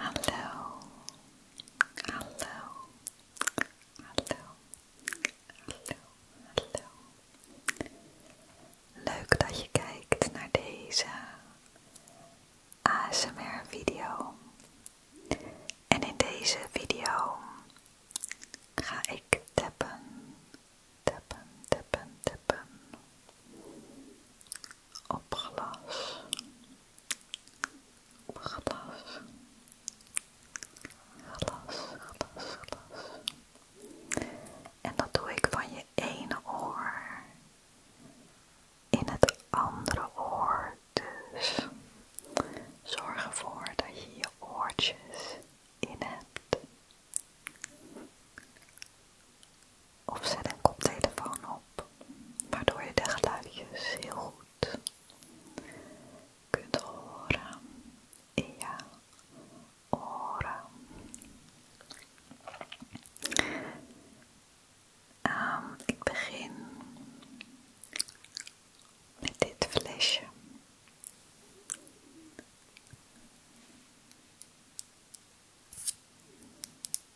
Hallo, hallo, hallo, hallo, hallo. Leuk dat je kijkt naar deze ASMR-video. En in deze video ga ik tappen, tappen, tappen, tappen op glas. Glas. Glas, glas, glas. En dat doe ik van je ene oor in het andere oor. Dus zorg ervoor dat je je oortjes in hebt of zet een koptelefoon op, waardoor je de geluidjes heel goed kunt horen in oren. Ehm, ik begin met dit flesje.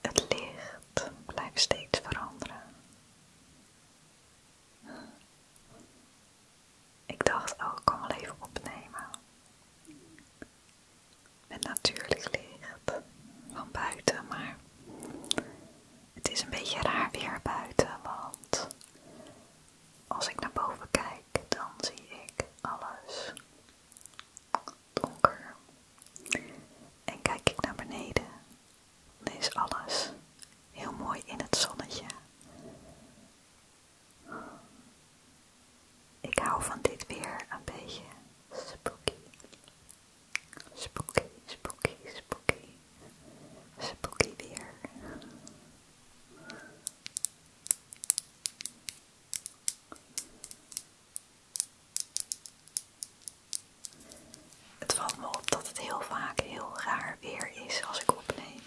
Het licht blijft steeds veranderen. Ik dacht, oh, ik kan wel even opnemen. Met natuurlijk licht van buiten, maar het is een beetje raar weer buiten, want als ik naar boven kijk, dan zie ik alles donker. En kijk ik naar beneden, dan is alles heel mooi in het zonnetje. Ik hou van dit weer een beetje spooky. Spooky, spooky, spooky. Spooky weer. Het valt me op dat het heel vaak heel raar weer is als ik opneem.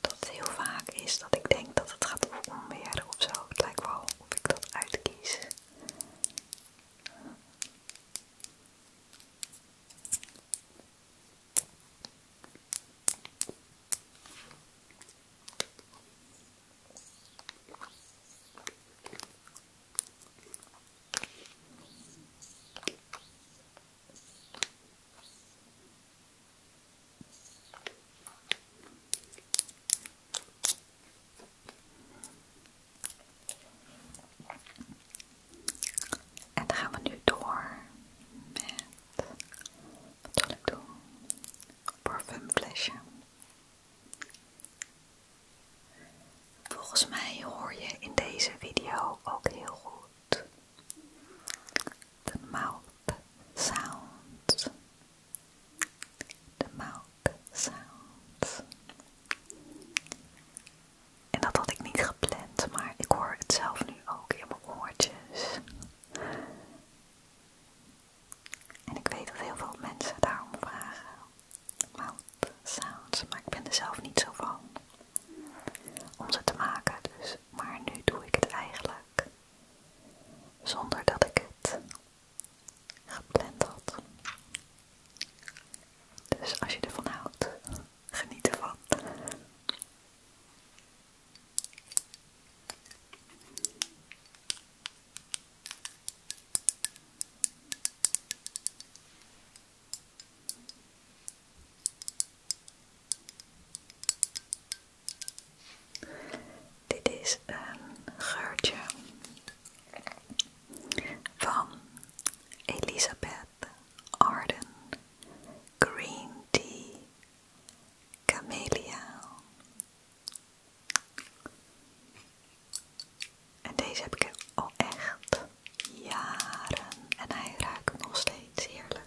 Dat het heel vaak is dat ik denk dat het gaat over onweer of zo. Het lijkt wel of ik dat uitkies. En dan gaan we nu door met wat zal ik doen? parfumflesje. Volgens mij hoor je in deze video ook heel goed de mouth sound. De mouth sound. En dat had ik niet gepland, maar ik hoor het zelf nu ook in mijn oortjes. En ik weet dat heel veel mensen daarom vragen. Mouth sounds, maar ik ben er zelf niet zo van om ze te maken, dus. Maar nu doe ik het eigenlijk zonder dat ik het gepland had. Dus als je ervan houdt, geniet ervan. Dit is een geurtje van Elizabeth Arden Green Tea Camelia. En deze heb ik al echt jaren en hij raakt nog steeds heerlijk.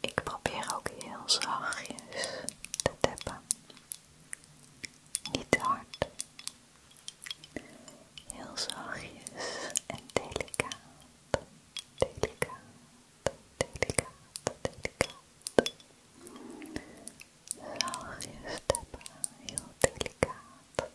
Ik probeer ook heel zachtjes te tappen. Niet hard. Heel zachtjes en delicaat. Delicaat, delicaat, delicaat. Zachtjes tappen, heel delicaat.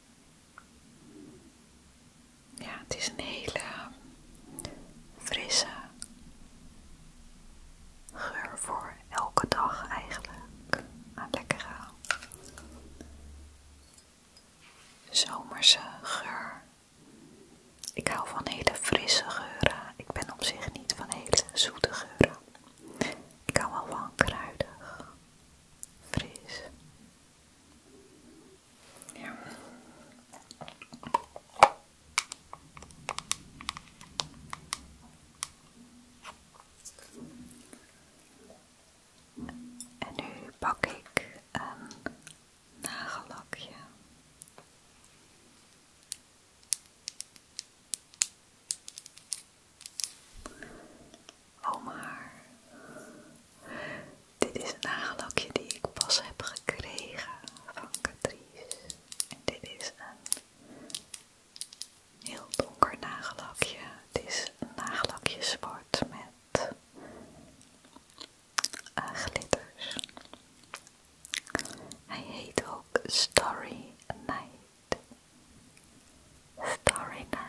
Ja, het is een hele frisse geur voor elke dag eigenlijk. Een lekkere zomerse geur. Ik hou van hele frisse geuren. Ik ben op zich niet van hele zoete geuren. Ik hou wel van kruidig, fris. Ja. En nu pak ik een nagellakje. Oh maar, dit is een nagellakje die ik pas heb gekregen van Catrice. En dit is een heel donker nagellakje. Het is een nagellakje zwart met eh, glitters. Hij heet ook Starry Night. Story Night.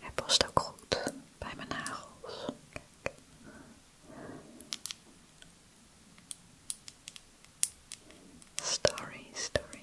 Hij past ook goed bij mijn nagels. Story, story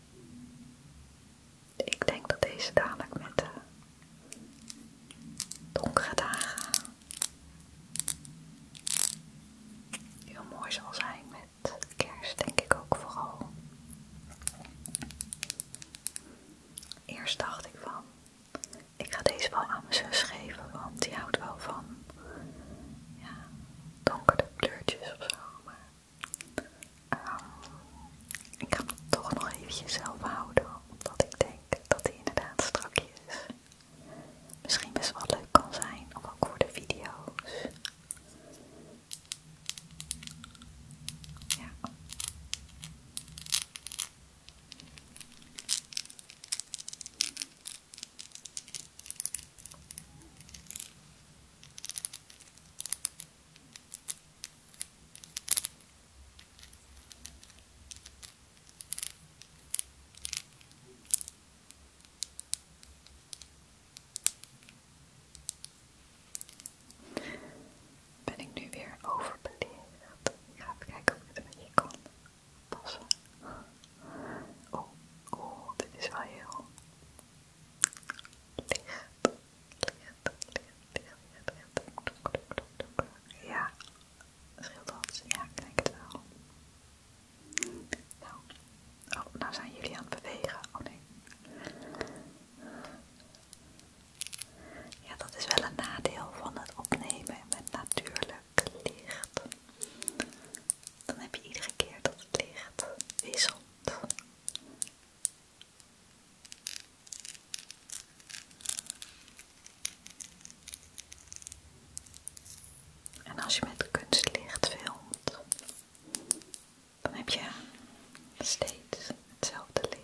Ik denk dat deze dadelijk met de donkere dagen heel mooi zal zijn met kerst, denk ik ook vooral. Eerst dacht ik van, ik ga deze wel aan mijn zus geven, want die houdt wel van ja, donkere kleurtjes of Ehm, ik ga hem toch nog eventjes zelf houden, omdat ik denk dat hij inderdaad strakjes misschien best wel leuk kan zijn, of ook voor de video's. Ja. Ben ik nu weer overbeledigd? Ik ga kijken of ik het een beetje kan passen. Oh, oh, dit is wel heel licht, licht, Ja, scheelt dat? Ja, ik denk het wel. Nou, oh, nou zijn jullie aan het bewegen. Oh nee. Ja, dat is wel een nadeel van het opnemen met natuurlijk licht. Dan heb je iedere keer dat het licht wisselt. En als je met kunstlicht filmt, dan heb je steeds hetzelfde licht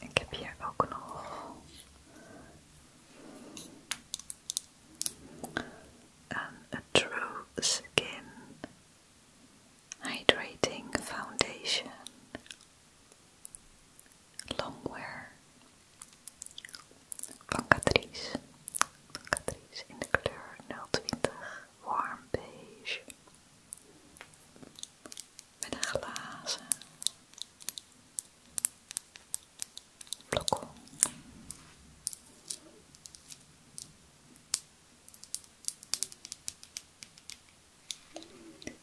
ik heb hier ook nog een True Skin Hydrating Foundation Longwear van Catrice. Catrice in de kleur 020 Warm Beige. Met een glazen blokkel.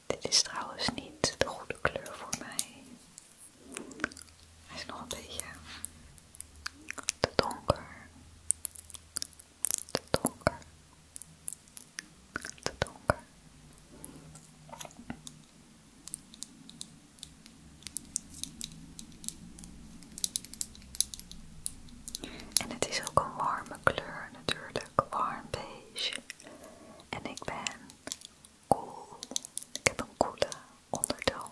Dit is trouwens niet de goede kleur voor mij. Hij is nog een beetje te donker dat donker. dat donker. En het is ook een warme kleur natuurlijk, warm beige. En ik ben cool. Ik heb een koele ondertoon.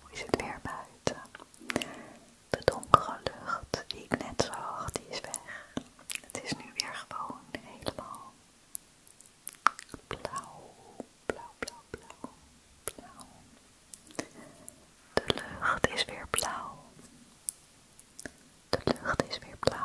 Hoe is het weer buiten? De donkere lucht die ik net zag, die is weg. Het is nu weer gewoon helemaal blauw, blauw, blauw, blauw. De lucht is weer blauw. De lucht is weer blauw.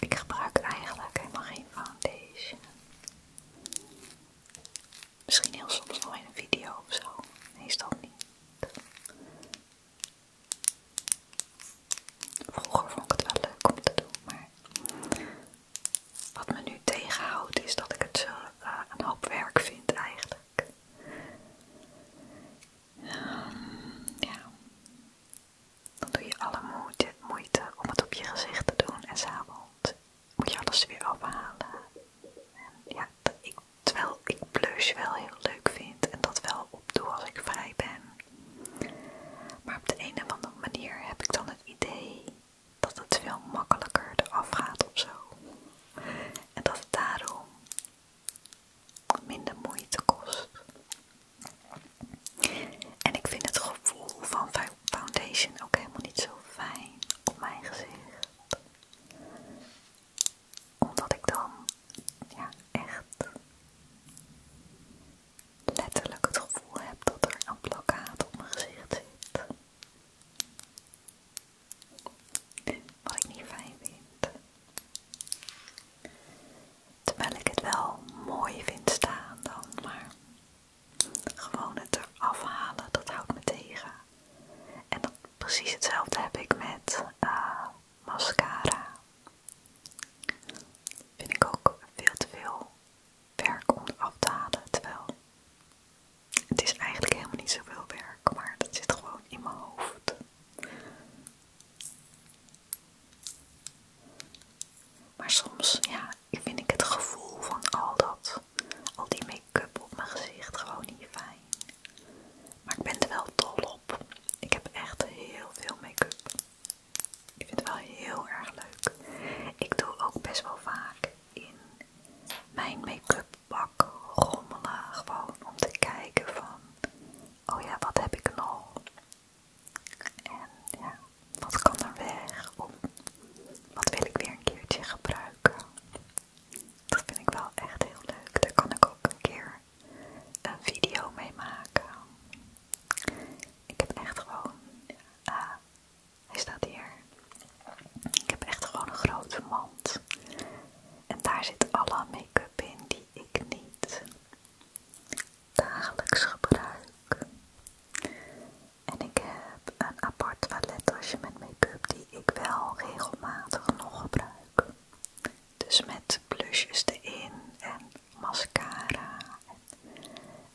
Ik gebruik eigenlijk helemaal geen foundation. Misschien heel soms nog in een video of zo. Meestal niet. Vroeger vond ik het wel leuk om te doen, maar wat me nu tegenhoudt is dat ik het zo eh, een hoop werk vind eigenlijk. Ehm, ja. Dan doe je alle moeite, om het op je gezicht te doen en s'avonds moet je alles weer ophalen. ja, ik Terwijl ik blush wel heel leuk vind en dat wel opdoe als ik vrij ben. Maar op de een of andere manier heb ik dan het idee dat het veel makkelijker eraf gaat of zo. En dat het daarom minder moeite kost. En ik vind het gevoel van foundation ook helemaal niet zo fijn op mijn gezicht omdat ik dan ja, echt letterlijk het gevoel heb dat er een plakkaat op mijn gezicht zit. Wat ik niet fijn vind. Terwijl ik het wel mooi vind staan dan, maar gewoon het eraf halen, dat houdt me tegen. En precies hetzelfde heb ik met eh, mascara. Vind ik ook veel te veel werk om af te halen, terwijl het is eigenlijk helemaal niet zoveel werk, maar het zit gewoon in mijn hoofd. Maar soms, ja, vind ik het gevoel van al dat, al die make-up op mijn gezicht gewoon niet fijn. Maar ik ben er wel dol op. Ik heb echt heel veel make-up. Ik vind het wel heel erg leuk. Ik doe ook best wel vaak in mijn make-up bak rommelen. Gewoon om te kijken van, oh ja, wat heb ik nog? En ja, wat kan er weg? Of wat wil ik weer een keertje gebruiken? Dat vind ik wel echt heel leuk. Daar kan ik ook een keer een video mee maken. Ik heb echt gewoon, hij staat hier. Ik heb echt gewoon een grote mand. En daar zit alle make-up in die ik niet dagelijks gebruik. En ik heb een apart toilettasje met make-up die ik wel regelmatig nog gebruik. Dus met blushes erin en mascara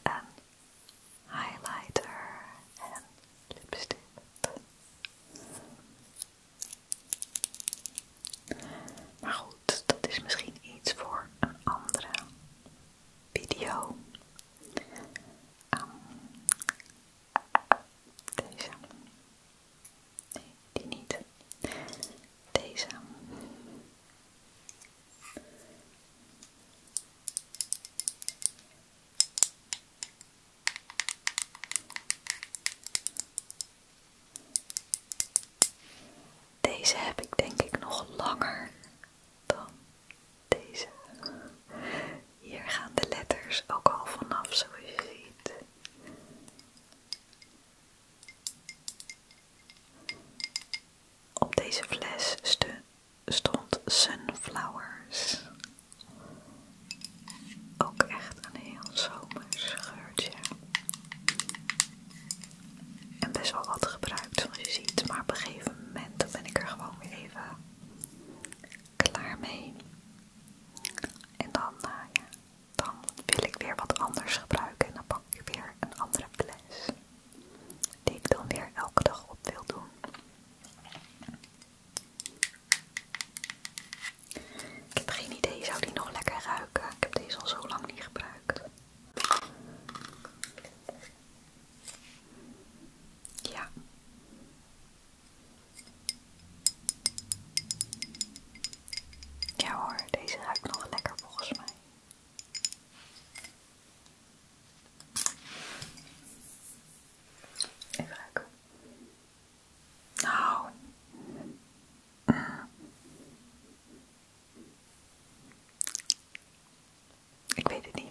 en highlighter en lipstick. Maar goed, dat is misschien iets voor een andere video. Ehm, deze die niet. Deze. Deze heb ik denk ik nog langer dan deze. Hier gaan de letters ook al vanaf, zoals je op deze fles stond sunflowers. Ook echt een heel zomers geurtje. En best wel wat gebruikt zoals je ziet, maar op een gegeven moment ben ik er gewoon weer even klaar mee. En dan, naaien. Eh, ja, dan wil ik weer wat anders gebruiken en dan pak ik weer een andere fles. Die ik dan weer elke dag op wil doen. Ik heb geen idee, zou die nog lekker ruiken? Ik heb deze al zo lang niet gebruikt. Ja, ja hoor, deze ruikt nog lekker volgens mij. Even ruiken. Nou. Ik weet het niet.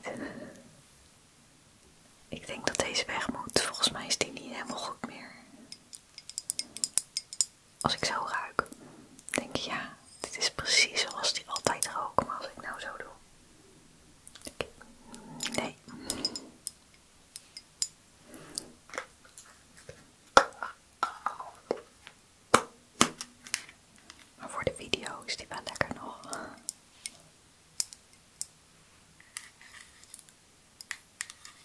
Ik denk dat deze weg moet. Volgens mij is die niet helemaal goed meer. Als ik zo ruik, denk ik ja, dit is precies zoals die altijd rook. Maar als ik nou zo doe. Ik, nee. Maar voor de video is die wel lekker nog.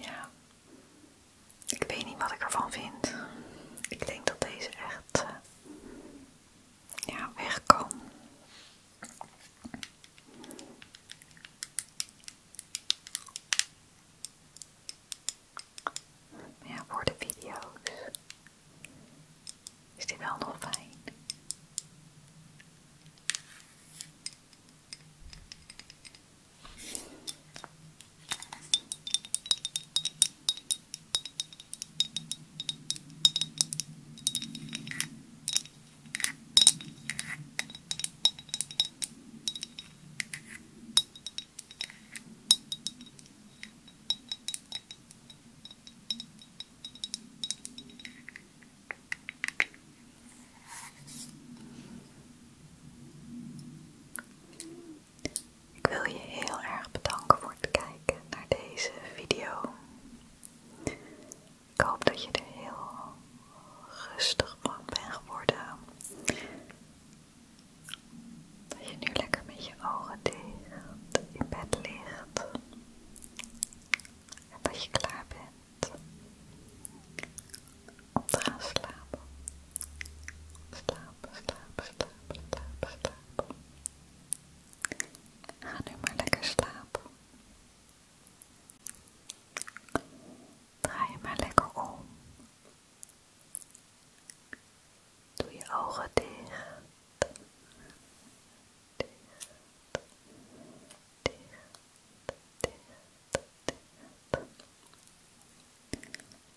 Ja, ik weet niet wat ik ervan vind. Ik denk dat deze echt eh, ja, weg kan ja, voor de video's is die wel nog fijn. Ik wil je heel erg bedanken voor het kijken naar deze video. Ik hoop dat je er heel rustig van bent geworden. Dat je nu lekker met je ogen dicht in bed ligt. En dat je klaar bent om te gaan slapen. Slapen, slapen, slapen, slapen, slapen. Ga nu maar lekker slapen. Draai je maar lekker om Doe je ogen dicht. Dicht, dicht, dicht, dicht.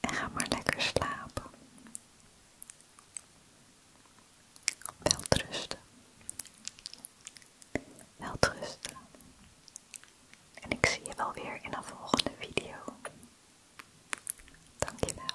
En ga maar lekker slapen. Welterusten. Welterusten. En ik zie je wel weer in de volgende video. Dankjewel.